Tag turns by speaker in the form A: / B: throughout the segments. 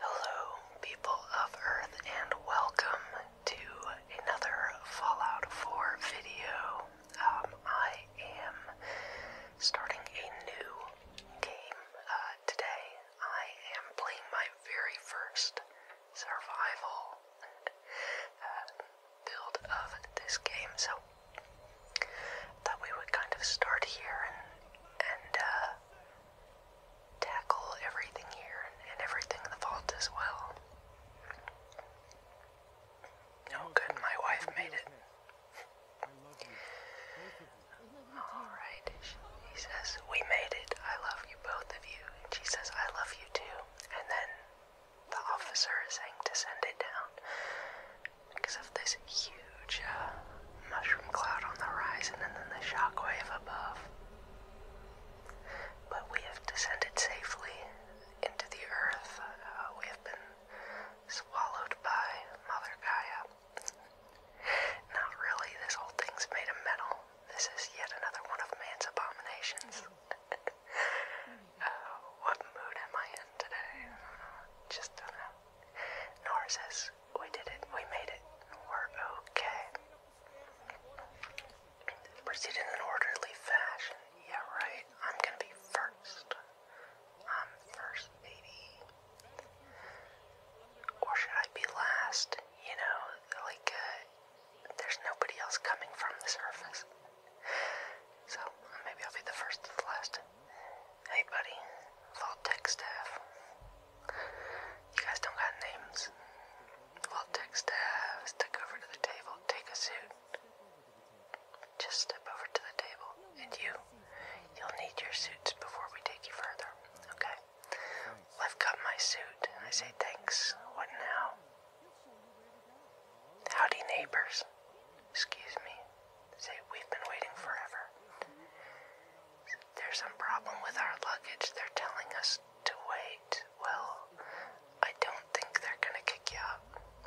A: Hello, people of Earth, and welcome to another Fallout 4 video. Um, I am starting a new game uh, today. I am playing my very first survival uh, build of this game, so I thought we would kind of start here and, uh, tackle everything here and, everything in the vault as well. Oh, good, my wife made it. Alright, he says, We made it. I love you, both of you. she says, I love you too. And then the officer is saying to send it down because of this huge. Uh, mushroom cloud on the horizon and then the shockwave above. But we have descended safely into the earth. Uh, we have been swallowed by Mother Gaia. Not really, this whole thing's made of metal. This is yet another one of man's abominations. Uh, what mood am I in today? Just don't know. Narcissus, we did it, we made it, we're okay. Proceed in an orderly fashion. Yeah, right. I'm gonna be first. I'm first, baby. Or should I be last? You know, like, uh, there's nobody else coming from the surface. So, maybe I'll be the first to the last. Hey buddy, Vault Tech staff. You guys don't got names. Vault Tech staff, step over to the table, take a suit. Just step over to the table, and you, you'll need your suits before we take you further, okay? Well, I've got my suit, I say thanks. What now? Howdy, neighbors. Excuse me. Say, we've been waiting forever. There's some problem with our luggage. They're telling us to wait. Well, I don't think they're gonna kick you out.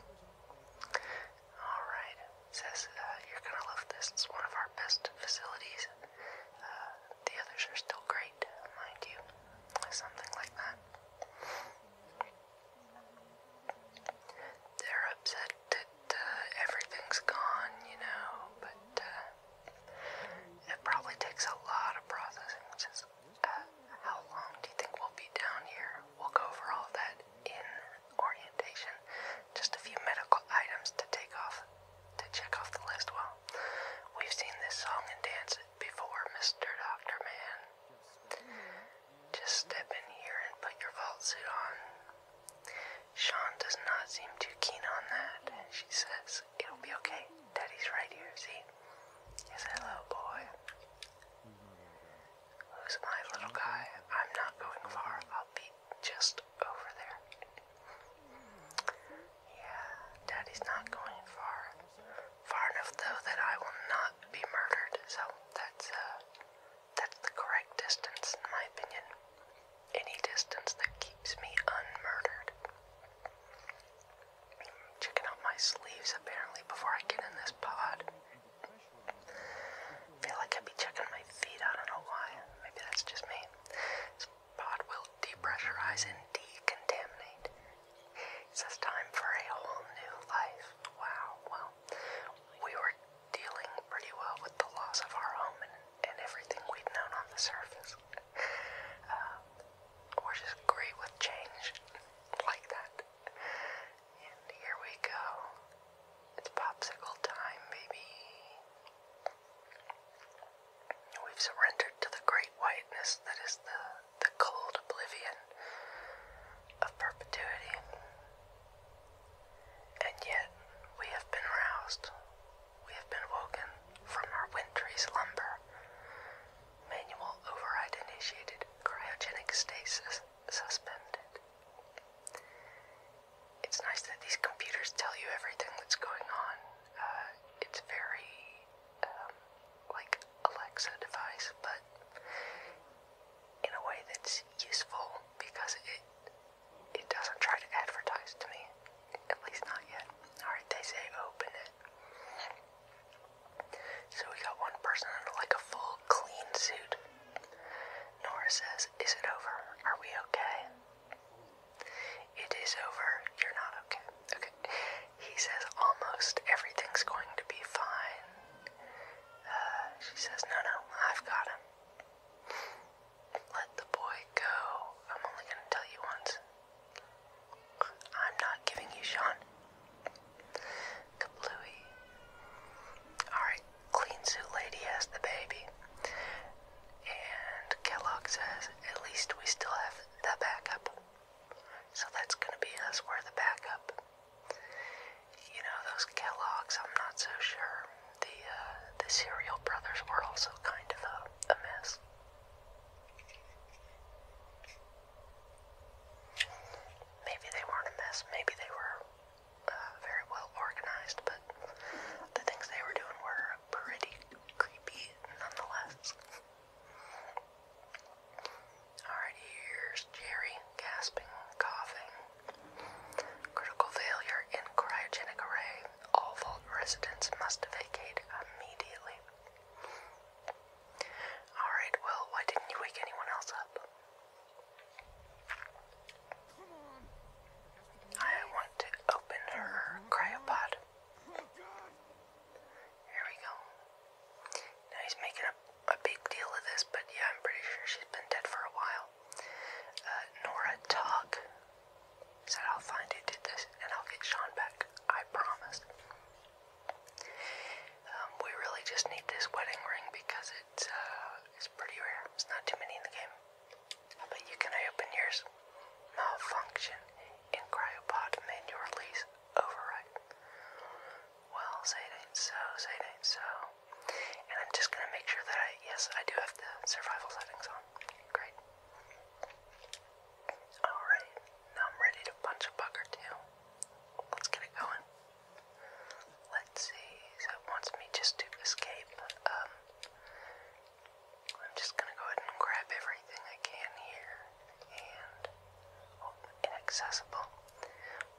A: Alright, says uh, you're gonna love this. It's one of our best facilities. Uh, the others are still great, mind you. Something like that. They're upset that uh, everything's gone, you know, but uh, it probably takes a lot of processing, which uh, how long do you think we'll be down here? We'll go over all that in orientation. Just a few medical items to take off, to check off the list. Well, we've seen this song and dance before, Mr. Doctor Man. Just step in here and put your vault suit on. Sean does not seem too keen on that, and she says, It'll be okay. Daddy's right here, see? Yes, hello, boy. Who's my little guy? I'm not going far. I'll be just over there. Yeah, Daddy's not going far. Far enough, though, that I will not be murdered, so that's, uh, that's the correct distance, in my opinion any distance that keeps me unmurdered. Checking out my sleeves apparently before I get in this pod. Feel like i be checking my feet. I don't know why. Maybe that's just me. This pod will depressurize and decontaminate. It says time for a whole new life. Wow. Well, we were dealing pretty well with the loss of our home and, everything we've known on the surface. Um, we're just great with change like that. And here we go. It's popsicle time, baby. We've surrendered to the great whiteness that is the, the cold oblivion of perpetuity. And yet, we have been roused. We have been woken from our wintry slumber. Manual override initiated, cryogenic stasis suspended. It's nice that these computers tell you everything that's going on. Uh, it's very, um, like Alexa device, but in a way that's useful because it it doesn't try to advertise to me. At least not yet. Alright, they say open it. So we got one person in like a full clean suit. Nora says, Is it over? Are we okay? It is over. You're not okay. Okay. He says, Almost everything's going to be fine. Uh, she says, No, no, I've got him. Let the boy go. I'm only gonna tell you once. I'm not giving you Sean. Kablooey. Alright, Clean Suit Lady has the baby. And Kellogg says, at least we still have the backup. So that's gonna be us. We're the backup. You know, those Kellogg's, I'm not so sure the uh, the Serial Brothers were also kind of a, mess. Maybe they weren't a mess. Maybe they were uh, very well organized, but the things they were doing were pretty creepy nonetheless. Alright, here's Jerry gasping, coughing, Critical failure in cryogenic array. All vault residents must vacate immediately. Alright, well, why didn't you wake anyone else up? I want to open her cryopod. Here we go. Now he's making a, big deal of this, but yeah, I'm pretty sure she's been dead for a while. Uh, Nora Talk Said I'll find who did this and I'll get Sean back. I promise. Um, we really just need this wedding ring because it's uh, it's pretty rare. It's not too many in the game. I you can open yours. Malfunction in cryopod manual release override. Well, say it ain't so. Say it ain't so. And I'm just gonna make sure that I, yes, I do have the survival settings on. Great. Alright, now I'm ready to punch a bug or two. Let's get it going. Let's see, it wants me just to escape. Um, I'm just gonna go ahead and grab everything I can here. And, oh, inaccessible.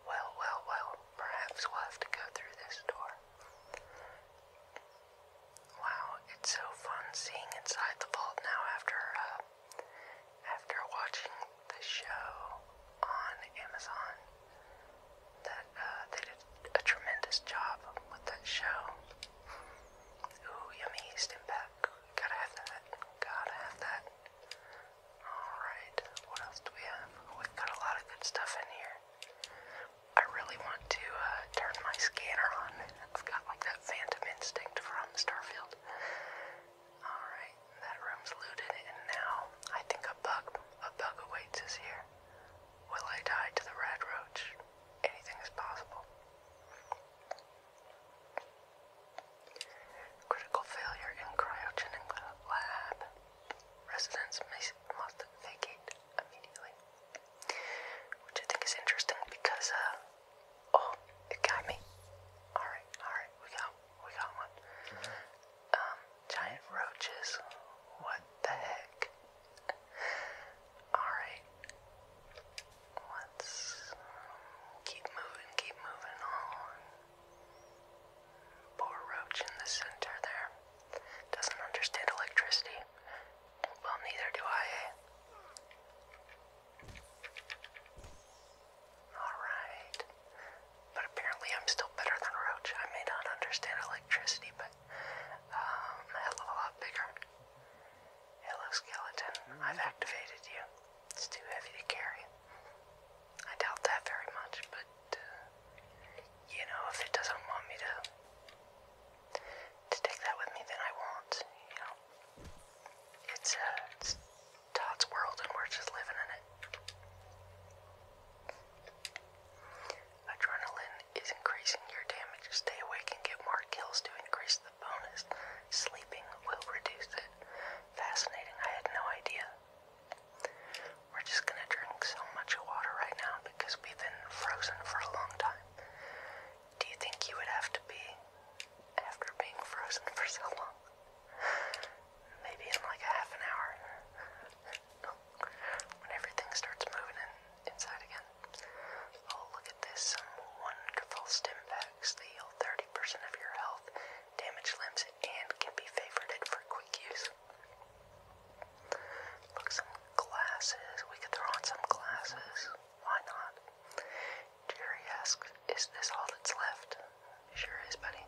A: Well, well, well, perhaps we'll have to go through this door. Wow, it's so fun seeing inside the vault now after uh, after watching the show on Amazon. That uh, they did a tremendous job with that show. Ooh, yummy Stimpak. Gotta have that. Gotta have that. Alright, what else do we have? We've got a lot of good stuff in here. I really want to uh, turn my scanner on. I've got like that phantom instinct from Starfield. Alright, that room's looted, and now I think a bug, a bug awaits us here. Will I die to the red roach? Anything is possible. Critical failure in cryogenic lab. Residents must vacate immediately. Which I think is interesting because, uh, oh, it got me. Alright, alright, we got, we got one. Mm-hmm. Um, giant roaches. What the heck? Alright. Let's um, keep moving, keep moving on. Poor roach in the center there doesn't understand electricity. Well, neither do I, eh? Alright. But apparently I'm still better than Roach. I may not understand electricity, but um, a hell lot bigger. Hello, skeleton. I've activated you. It's too heavy to carry. I doubt that very much, but you know, if it doesn't want me to to take that with me, then I won't. You know, it's uh, it's Todd's world, and we're just living in it. Adrenaline is increasing your damage. Stay awake and get more kills to increase the bonus. Sleeping will reduce it. Fascinating. I had no idea. We're just gonna drink so much water right now because we've been frozen for a long time. Do you think you would have to be after being frozen for so long? Maybe in like a half an hour. when everything starts moving inside again. Oh, look at this. Some wonderful stim that yield 30% of your health, damage limbs, and can be favorited for quick use. Look, some glasses. We could throw on some glasses. Why not? Jerry asks, Is this all that's left? Sure is, buddy.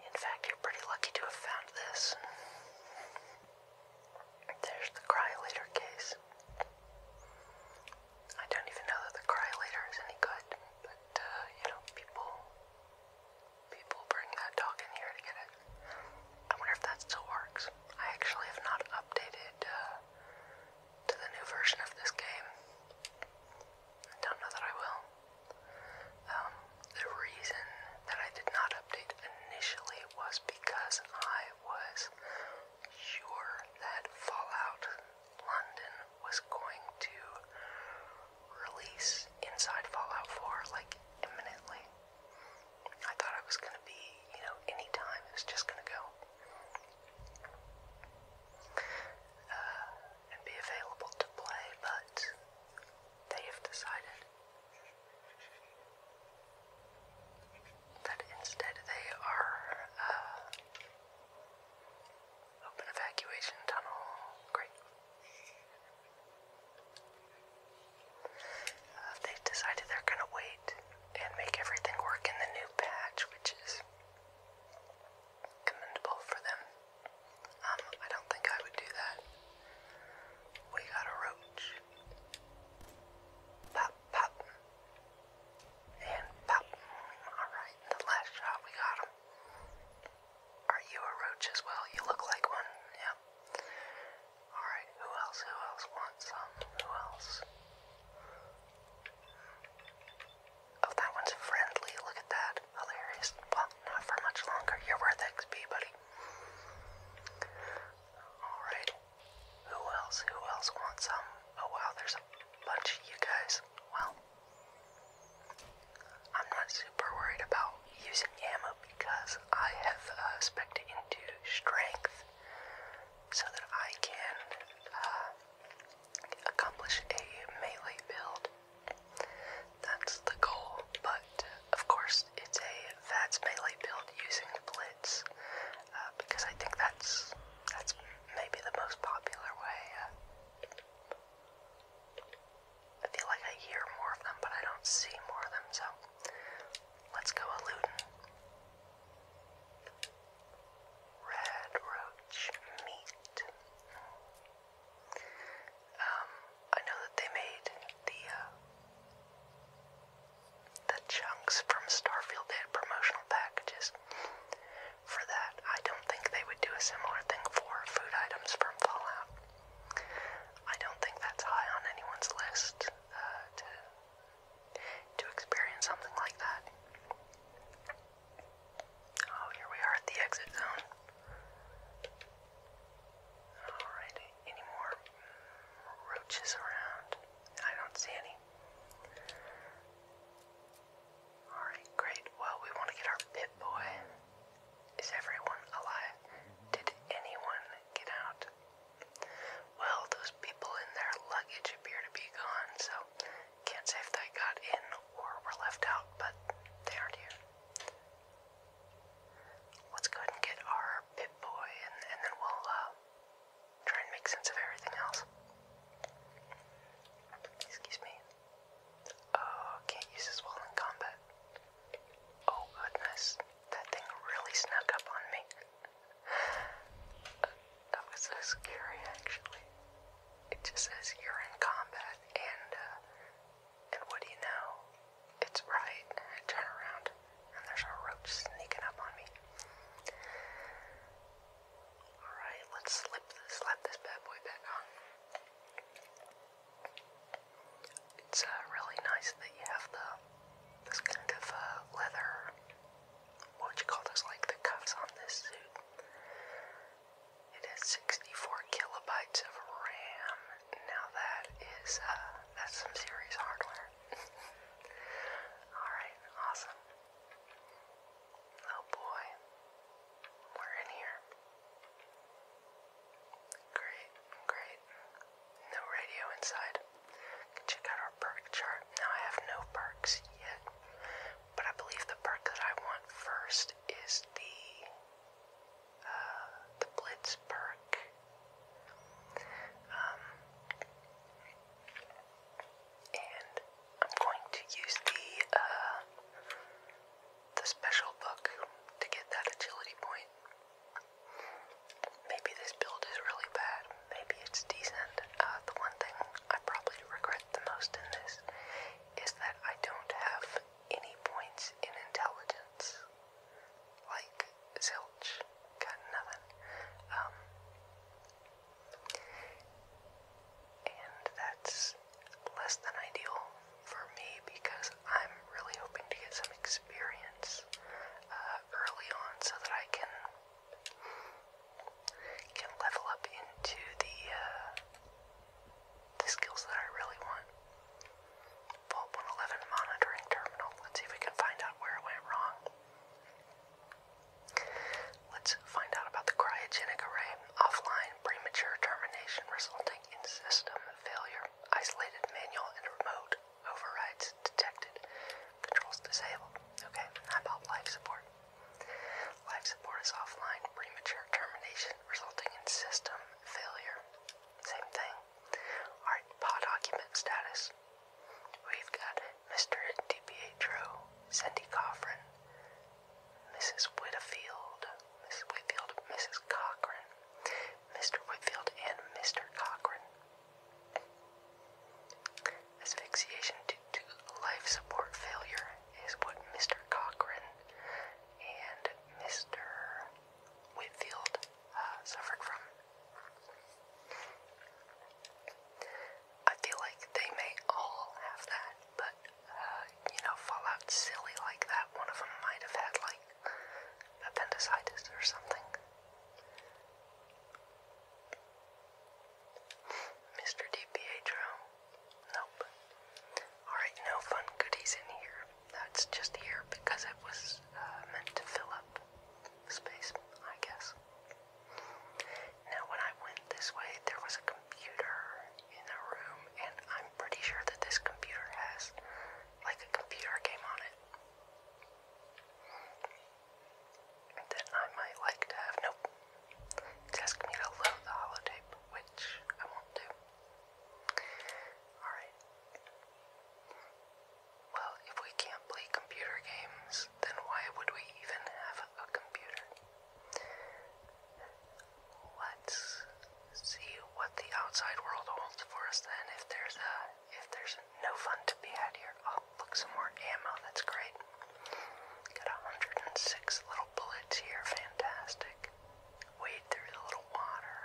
A: In fact, you're pretty lucky to have found this. There's the cryolator case. I don't even know that the cryolator is any good. But uh, you know, people people bring that dog in here to get it. I wonder if that still works. I actually have not updated uh, to the new version of this game. I don't know that I will. Um, the reason that I did not update initially was because I was sure that Fallout London was going to release Inside Fallout 4 like imminently. I thought it was gonna be, you know, anytime it was just gonna go uh, and be available to play, but they have decided that instead they are uh, Open evacuation tunnel. Great. Uh, they've decided they're going to wait and make everything work in the new patch, which is commendable for them. Um, I don't think I would do that. We got a roach. Pop, pop. And pop. Alright, the last shot we got him. Are you a roach as well? You look like one, yeah. Alright, who else? Who else wants some? Who else? Oh, that one's friendly. Look at that. Hilarious. Well, not for much longer. You're worth XP, buddy. Alright. Who else? Who else wants some? Oh, wow, there's a bunch of you guys. Well, I'm not super worried about using ammo because I have uh, specced into strength so that I can uh, accomplish a melee build. That's the goal, but of course it's a VATS melee build using Blitz uh, because I think that's that's maybe the most popular way uh, I feel like I hear more of them, but I don't see more of them, so let's go a looting. Red meat. Um, I know that they made the uh, the chunks from Starfield. They promotional packages for that. I don't think they would do a similar thing for food items from Fallout. I don't think that's high on anyone's list uh, to to experience something like that. Oh, here we are at the exit zone. Alright, any more roaches around? I don't see any. Alright, great. Well, we want to get our Pip Boy. Is everyone alive? Did anyone get out? Well, those people in their luggage appear to be gone, so can't say if they got in or were left out, but they aren't here. Let's go and get our Pip Boy, and, then we'll uh, try and make sense of everything else. Excuse me. Oh, can't use his wall in combat. Oh goodness, that thing really snuck up on me. that was so scary, actually. It just says you're in combat, and uh, and what do you know? It's right. I turn around, and there's a roach sneaking up on me. Alright, let's slip this, slap this bad boy back on. It's uh, really nice that you have the this kind of uh, leather, what would you call this, like the cuffs on this suit. It has 64 kilobytes of RAM. Now that is, uh, that's some serious hardware. Alright, awesome. Oh boy, we're in here. Great, great. No radio inside. Can check out our perk chart. Now I have no perks yet, but I believe the perk that I want first is the uh, the Blitz perk. Um, and I'm going to use the uh, the special book to get that agility point. Maybe this build is really bad. Maybe it's decent. Uh, the one thing I probably regret the most in this is that I don't have any points in intelligence. Like zilch, got nothing. Um, and that's less than ideal for me because I'm really hoping to get some experience uh, early on so that I can can level up into the uh, the skills that I really want. Vault 111 monitoring terminal. Let's see if we can find out where it went wrong. Let's find out about the cryogenic array. Offline premature termination resulting in system failure. Isolated manual and remote overrides detected. Controls disabled. Okay, about life support? Life support is offline premature termination resulting in system failure. Same thing. Alright, pod occupant status. We've got Mr. DiPietro, Cindy Coffrin, Mrs. Whitfield, Mrs. Whitfield, Mrs. Cochran, Mr. Whitfield, and Mr. Cochrane. Asphyxiation due to life support failure is what Mr. Cochrane and Mr. Whitfield uh, suffered from. I feel like they may all have that, but uh, you know, fall out silly like that. One of them might have had like appendicitis or something. Mr. DiPietro? Nope. Alright, no fun goodies in here. That's just here because it was uh, meant to fill up space, I guess. Now, when I went this way, there was a computer in the room, and I'm pretty sure that this computer has like a computer game on it that I might like to have. Nope. It's me to load the holotape, which I won't do. Alright. Well, if we can't play computer games, then why would we even have a computer? Let's see what the outside world holds for us then. If there's a, if there's no fun to be had here. Oh, look, some more ammo. That's great. Got 106 little bullets here. Fantastic. Wade through the little water.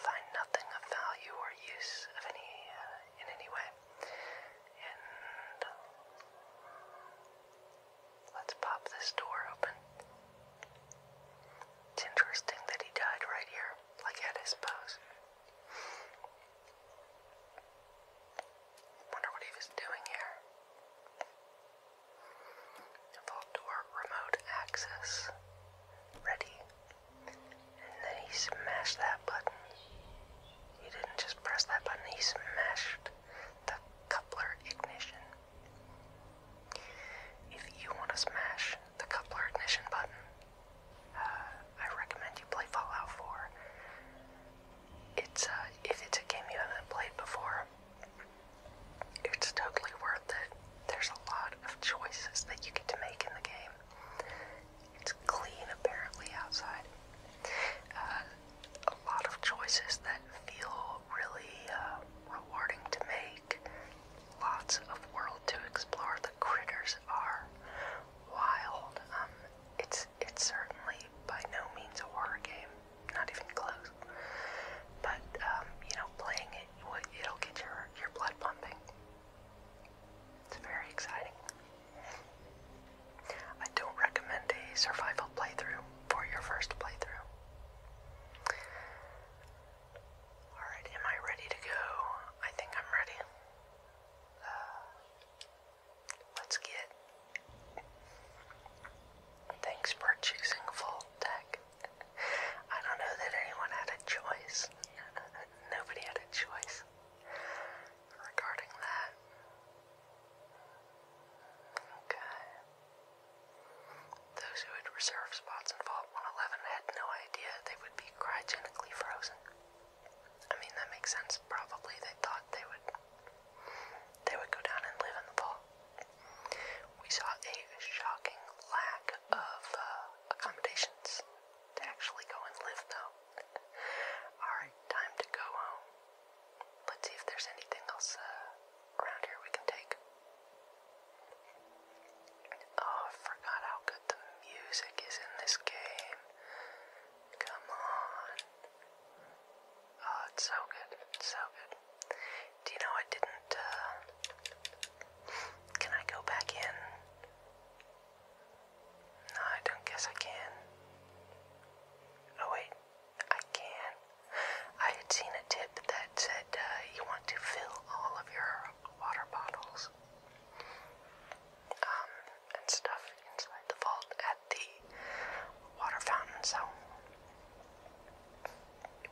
A: Find nothing of value or use of any uh, in any way let's pop this door open. It's interesting that he died right here, like at his post. Wonder what he was doing here. Vault door remote access. Ready. And then he smashed that button. He didn't just press that button, he smashed the coupler ignition. If you want to smash the coupler ignition button, uh, I recommend you play Fallout 4. It's uh, if it's a game you haven't played before, it's totally worth it. There's a lot of choices that you get to make in the game. It's clean apparently outside. Uh, a lot of choices that feel really uh, rewarding to make. Lots of world to explore. The critters are wild. Um, it's it's certainly by no means a horror game, not even close. But um, you know, playing it, it'll get your your blood pumping. It's very exciting. I don't recommend a survival playthrough for your first playthrough. Alright, am I ready to go? I think I'm ready. Uh, let's get. Thanks for choosing full tech. I don't know that anyone had a choice. Nobody had a choice regarding that. Okay. Those who had reserved spots in Vault 111 had no idea they would be cryogenically frozen. I mean, that makes sense. Probably they thought they would they would go down and live in the vault. We saw a shocking lack of uh, accommodations to actually go and live, though. Alright, time to go home. Let's see if there's anything else uh, around here we can take. Oh, I forgot how good the music is in this game. Come on. Oh, it's so good. so good. Do you know I didn't, uh, Can I go back in? No, I don't guess I can. Oh wait, I can. I had seen a tip that said uh, you want to fill all of your water bottles um, and stuff inside the vault at the water fountain, so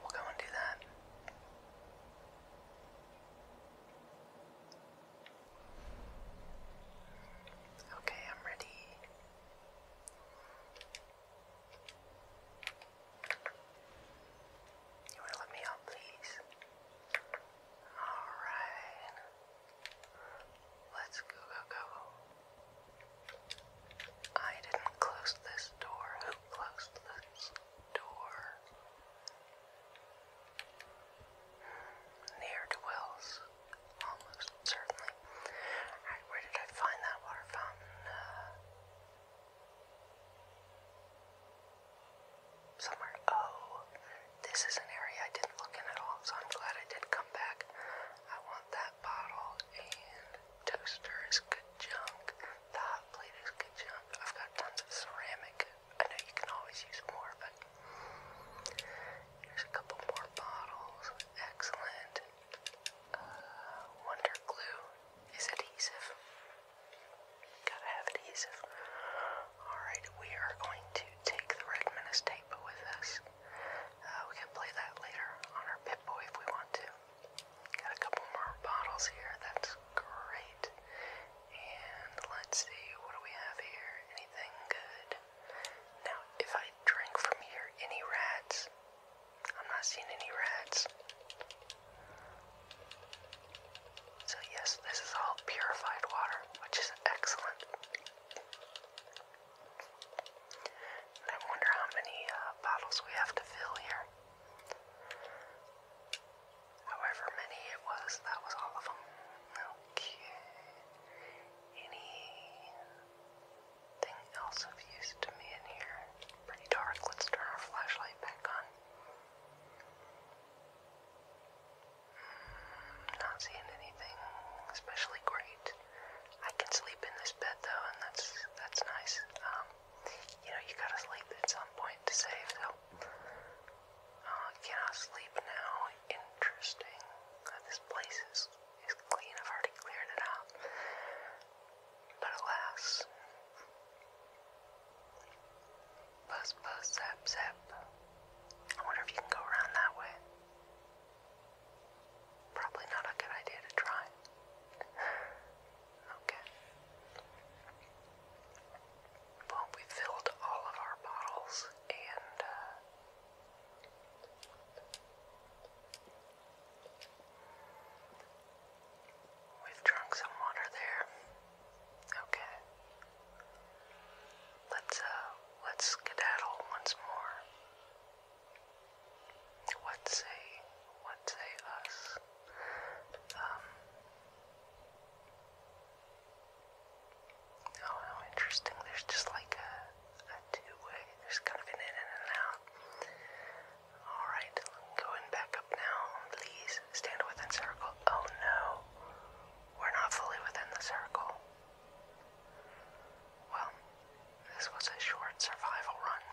A: we'll go and do that. Okay, I'm ready. You want to let me out, please? Alright. Let's go, go. I didn't close this door. Who closed this door? Near to Wells, almost certainly. Alright, where did I find that water fountain? Uh, somewhere. Oh, this is an area I didn't look in at all, so I'm glad I did come back. I want that bottle and toaster is good junk. The hot plate is good junk. I've got tons of ceramic. I know you can always use more, but Here's a couple more bottles. Excellent. Uh, Wonder Glue is adhesive. Gotta have adhesive. Alright, we are going to take the red menace tape with us. Uh, we can play that later on our Pip Boy if we want to. Got a couple more bottles here. That's great. And let's see, what do we have here? Anything good? Now, if I drink from here, any rats? I'm not seeing any rats. So, yes, this is all purified water, which is excellent. I wonder how many uh, bottles we have to fill here. However many it was, that was all of them. Okay anything else of use to me in here. pretty dark. Let's turn our flashlight back on. Hmm, not seeing anything especially great. I can sleep in this bed though, and that's that's nice. Um, you know, you gotta sleep at some point to save, so Oh, cannot sleep now. Interesting. this place is, is clean. I've already cleared it out. But alas. Buzz, buzz, zap, zap. I wonder if you can go around that way. Probably not a good idea to try. okay. Well, we filled all of our bottles and uh, We've drunk some water there. Okay. Let's uh let's skedaddle once more. What say what say us? Um Oh, how interesting. There's just like a, a two-way. There's kind of an in and an out. Alright, going back up now. Please stand within circle. Oh no. We're not fully within the circle. Well, this was a short survival run.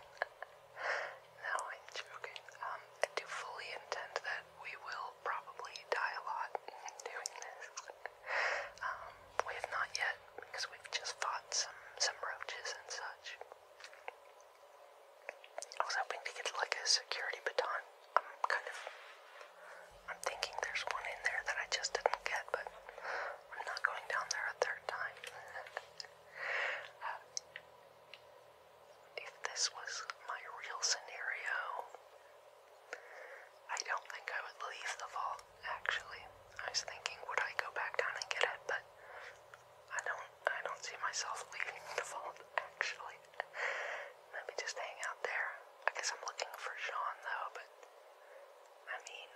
A: no, I'm joking. I do fully intend that we will probably die a lot doing this. Um, we have not yet, because we've just fought some, some roaches and such. I was hoping to get like a security baton. I'm kind of, I'm thinking there's one in there that I just didn't get, but I'm not going down there a third time. Uh, if this was my real scenario, I don't think I would leave the vault, actually. I was thinking would I go back down and get it, but I don't I don't see myself leaving the vault, actually. Maybe just hang out there. I guess I'm looking for Sean though, but I mean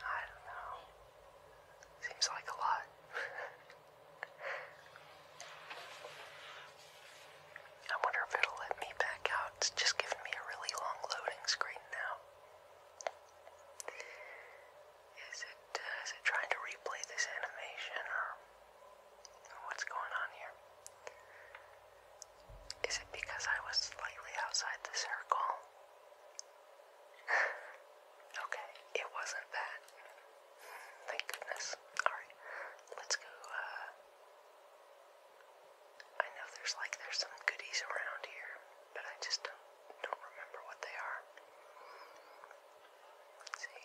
A: I don't know. Seems like a lot. I wonder if it'll let me back out. It's just giving me a really long loading screen now. Is it, uh, it trying to replay this animation or what's going on here? Is it because I was slightly outside the circle? okay, it wasn't that. Thank goodness. Alright, let's go uh, I know there's like there's some goodies around here, but I just don't don't remember what they are. see,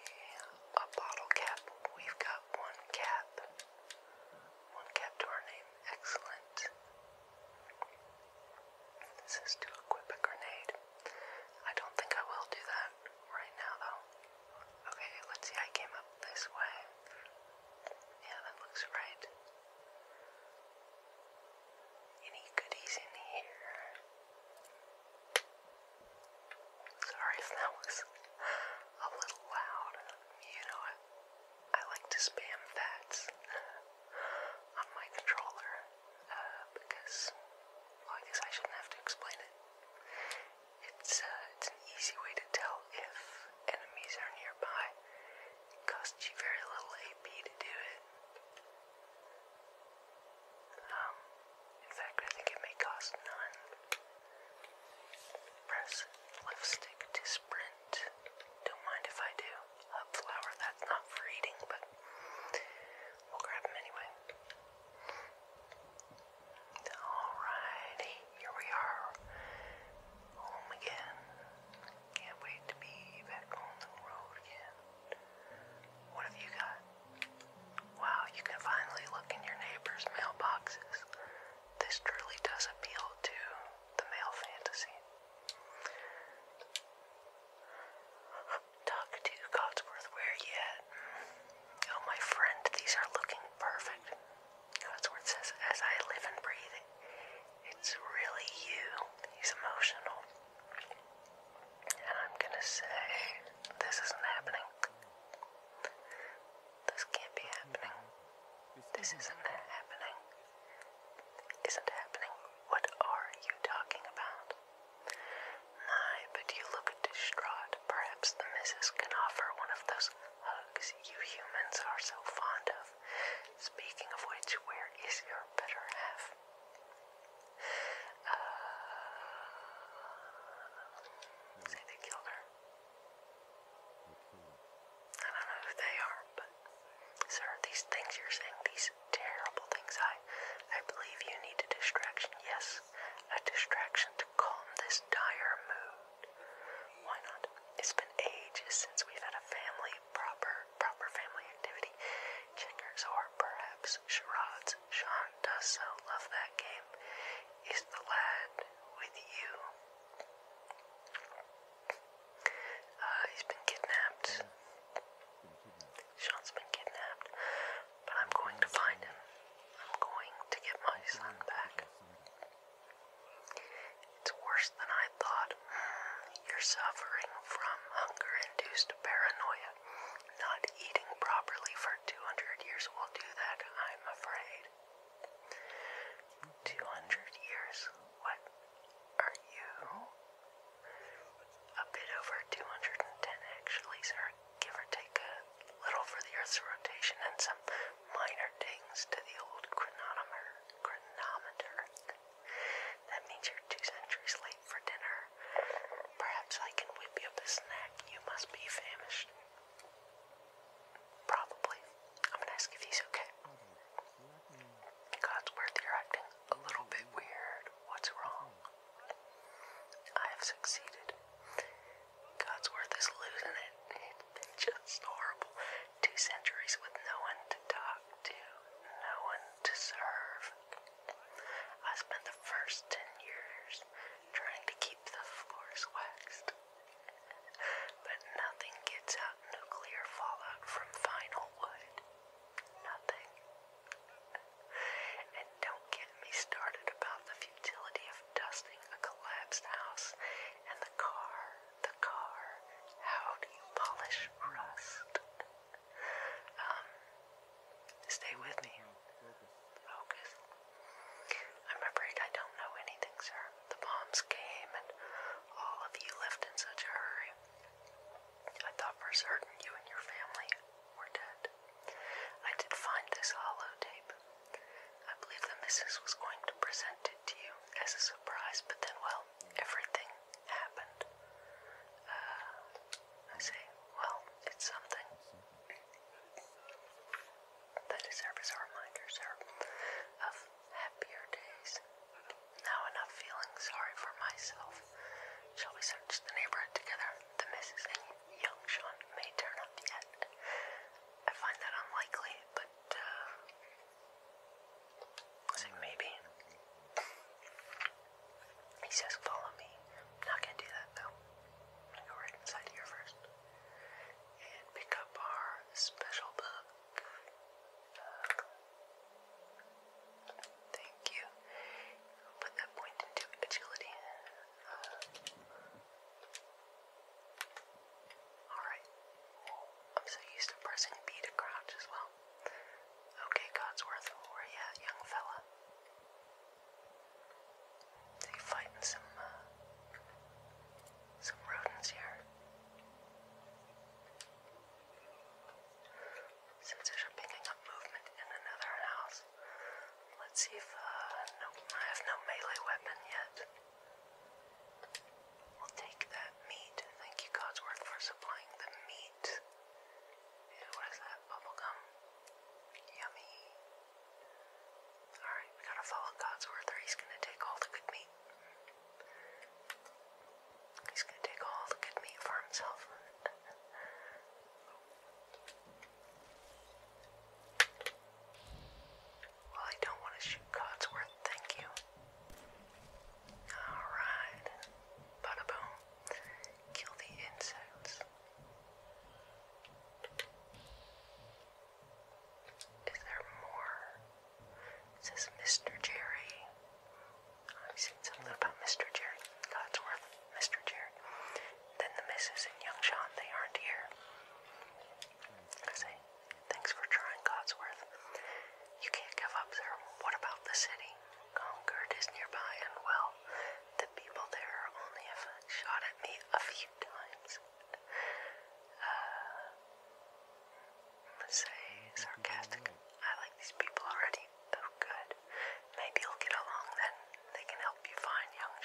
A: a bottle cap. We've got one cap. One cap to our name. Excellent. This is to equip a grenade. I don't think I will do that right now though. Okay, let's see, I came up this way. Yeah, that looks right. Any goodies in here? Sorry if that was a little loud. You know, I, like to spam fats on my controller uh, because, I guess I shouldn't have to explain it. It's, uh, it's an easy way to tell if enemies are nearby. It costs you very little AP to do it. Um, in fact, I think it may cost none. Press left stick to sprint. Don't mind if I do. Hub flower, that's not for eating, but we'll grab them anyway. Alrighty, here we are, home again. Can't wait to be back on the road again. What have you got? Wow, you can finally look in your neighbor's mailboxes. This truly does appeal to the male fantasy. Talk to Cotsworth, where you Oh, my friend, these are looking perfect. That's where it says, as I live and breathe. It's really you. He's emotional. And I'm gonna say, this isn't happening. This can't be happening. This isn't happening. Isn't happening. What are you talking about? My, but you look distraught. Perhaps the missus can offer one of those hugs you humans are so fond of. Speaking of which, where is your better half? Uh, say they I don't know who they are, but sir, these things you're saying, these terrible things, I, I believe you need a distraction. Yes, a distraction to calm this dire mood. Why not? It's been ages since we've had a family proper proper family activity. Checkers or perhaps charades. Sean does so love that game. Is the lad with you? Uh, he's been kidnapped. Sean's been kidnapped. But I'm going to find him. I'm going to get my son back. It's worse than I thought. Mm, you're suffering from hunger induced paranoia. Not eating properly for 200 years will do that, I'm afraid. 200 years? What? Are you? A bit over 210, actually, sir give or take a little for the Earth's rotation and some minor dings to the old chronometer. That means you're two centuries late for dinner. Perhaps I can whip you up a snack. You must be famished. Probably. I'm gonna ask if he's okay. Godsworth, you're acting a little bit weird. What's wrong? I have succeeded. God's worth is losing it. It's been just horrible. Two centuries with no one to talk to, no one to serve. I spent the first ten years trying to keep the floors waxed. But nothing gets out nuclear fallout from vinyl wood. Nothing don't get me started about the futility of dusting a collapsed house and the car, the car. How do you polish rust? Um, stay with me. Focus. I'm afraid I don't know anything, sir. The bombs came and all of you left in such a hurry. I thought for certain you and your family were dead. I did find this hollow tape, I believe the missus was going to present it to you as a surprise, but then, well, everything happened. Uh, I say, well, it's something. That is serve as a reminder, sir, of happier days. Now enough feeling sorry for myself. Shall we search the neighborhood together? The missus and young may turn up yet. I find that unlikely, but uh, maybe. He says, "Follow me." not gonna do that though. I'm gonna go right inside here first and pick up our special book. Thank you. I'll put that point agility. Uh, Alright. Oh, I'm so used to pressing B to crouch as well. Okay, Godsworth, where you at, young fella? So you fighting some, uh, some rodents here. Sensors are picking up movement in another house. Let's see if, uh, I have no melee weapon yet. We'll take that meat. Thank you, Codsworth, for supplying the meat. what is that? Bubblegum? Yummy. Alright, we gotta follow Codsworth or he's gonna take all the good meat. He's gonna take all the good meat for himself. Well, I don't want to shoot Codsworth, thank you. Alright. Bada Kill the insects. Is there more? says Mr. Jerry. I've seen something about Mr. Jerry. Codsworth. Mr. Jerry. Then the missus and young Sean, they aren't here. say, thanks for trying, Codsworth. You can't give up, sir. What about the city? Concord is nearby, and well, the people there only shot at me a few times. Uh, say sarcastic. I like these people already. Oh, good. Maybe you'll get along then. They can help you find young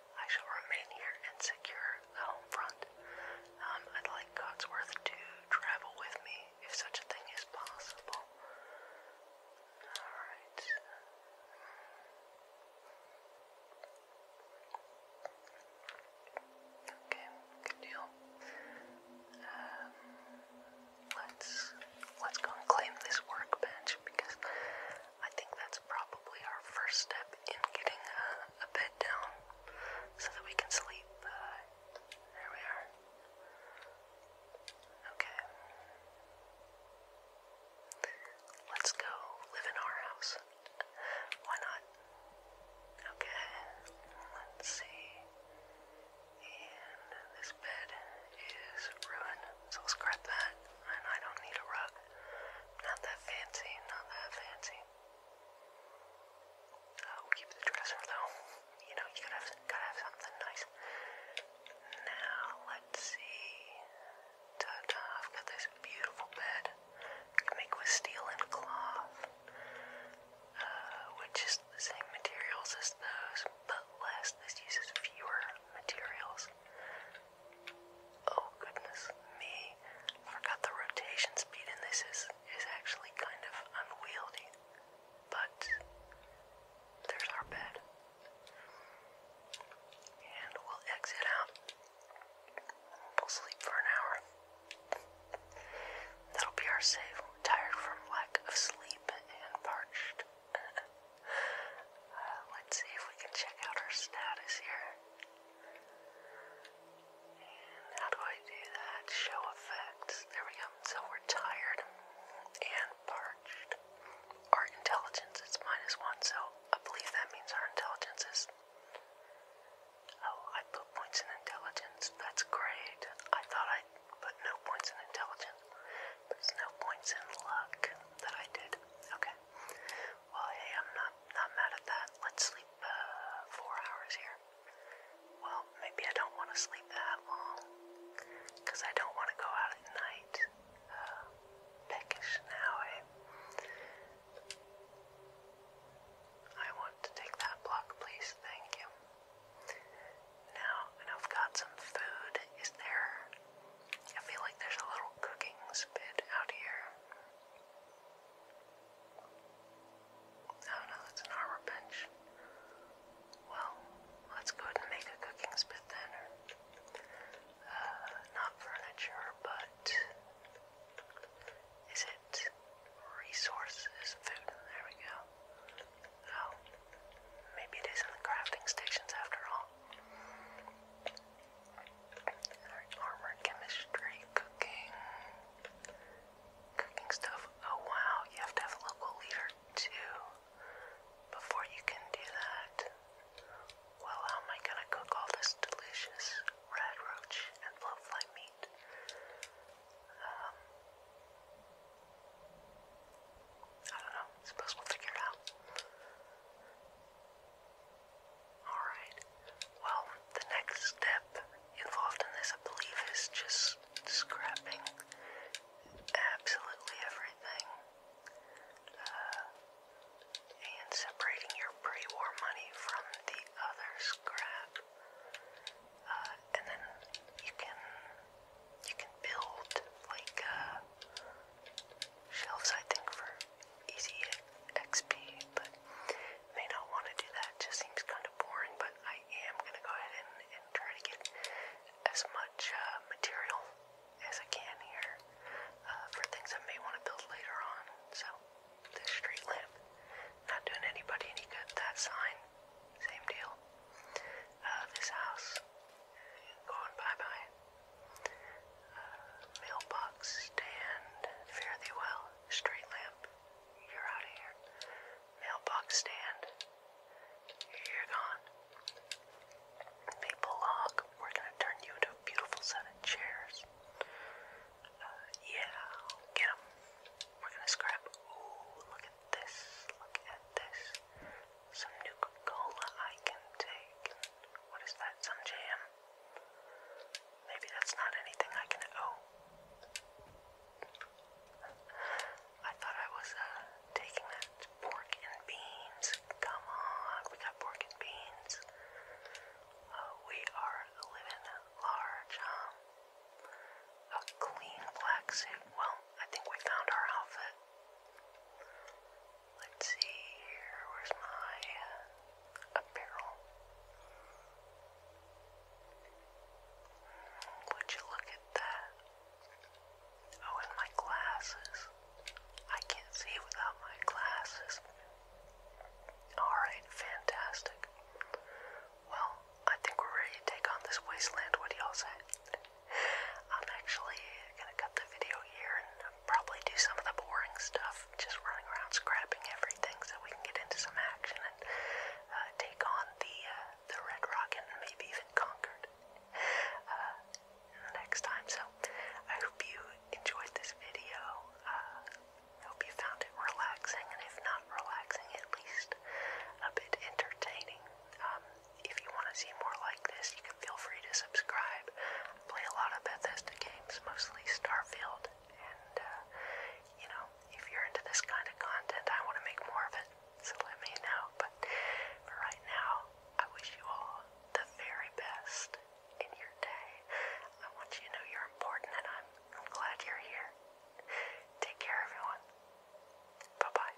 A: I shall remain here and secure the home front. Um, I'd like Cotsworth to travel with me if such a thing is possible. Alright. Okay, good deal. Um, let's let's go and claim this workbench because I think that's probably our first step in getting a bed down so that we can sleep. there we are. Okay. Let's go live in our house. Why not? Okay. Let's see. And this bed is ruined, so let's grab that and I don't need a rug. Not that fancy, not that fancy. I'll uh, keep the dresser though. You know, you gotta have, something nice. Now, let's see. ta I've got this beautiful bed. Make with steel and cloth. Uh, which is the same materials as those, but less. This uses fewer materials. Oh goodness me. I forgot the rotation speed and this is is actually kind of unwieldy. But there's our bed. And we'll exit out. We'll sleep for an hour. That'll be our save. Tired from lack of sleep and parched. Uh, let's see if we can check out our status here. And how do I do that? Show effects. There we go. So we're tired and parched. Our intelligence is minus one, so I believe that means our intelligence is. Oh, I put points in intelligence. That's great. I thought I put no points in intelligence. There's no points in luck that I did. Okay. Well, hey, I'm not not mad at that. Let's sleep uh, four hours here. Well, maybe I don't want to sleep that long I don't want to go out at night. Uh, now, eh? I want to take that block, please. Thank you. Now, I've got some food. Is there I feel like there's a little cooking spit out here. No, oh, no, that's an armor bench. Well, let's go and make a cooking spit then. Uh, not furniture, but is it resources? Food. There we go. Oh, maybe it is in the crafting stations after all armor chemistry, cooking, cooking stuff. Oh wow, you have to have a local leader too before you can do that. Well, how am I gonna cook all this delicious red roach and blowfly meat? Um, I don't know. suppose we'll figure it out. Alright. Well, the next step involved in this, I believe, is just scrapping absolutely everything uh, and separating your pre war money from the other scrap. Uh, and then you can you can build like uh, shelves, I think, for easy XP, but may not want to do that. It just seems kind of boring, but I am going to go ahead and, and try to get as much uh, material as I can here uh, for things I may want to build later on. So, this street lamp, not doing anybody any good. That sign, same deal. Uh, this house, going bye bye uh, mailbox stand, fare thee well, street lamp, you're out of here. Mailbox stand, you're gone. Maple log, we're gonna turn you into a beautiful set of chairs. Uh, yeah, get We're gonna scrap. Ooh, look at this, look at this some Nuka-Cola I can take. What is that? Some jam? Maybe that's not anything I can. Oh. I thought I was uh, taking that pork and beans. Come on, we got pork and beans. Uh, we are living large, huh? A clean black suit. Well, I think we found our outfit. Let's see here. Where's my apparel? Hmm, would you look at that? Oh, and my glasses. I can't see without my glasses. Alright, fantastic. Well, I think we're ready to take on this wasteland. What do y'all say? I'm actually gonna cut the video here and probably do some of the boring stuff, just running around scrapping everything so we can get into some action and uh, take on the, uh, the Red Rocket and maybe even conquer uh, next time. So I hope you enjoyed this video. Uh, I hope you found it relaxing, and if not relaxing, at least a bit entertaining. Um, if you want to see more like this, you can feel free to subscribe. I play a lot of Bethesda games, mostly Starfield, and uh, you know, if you're into this kind of content, I want to make more of it, so let me know. But for right now, I wish you all the very best in your day. I want you to know you're important, and I'm, I'm glad you're here. Take care, everyone. Bye bye.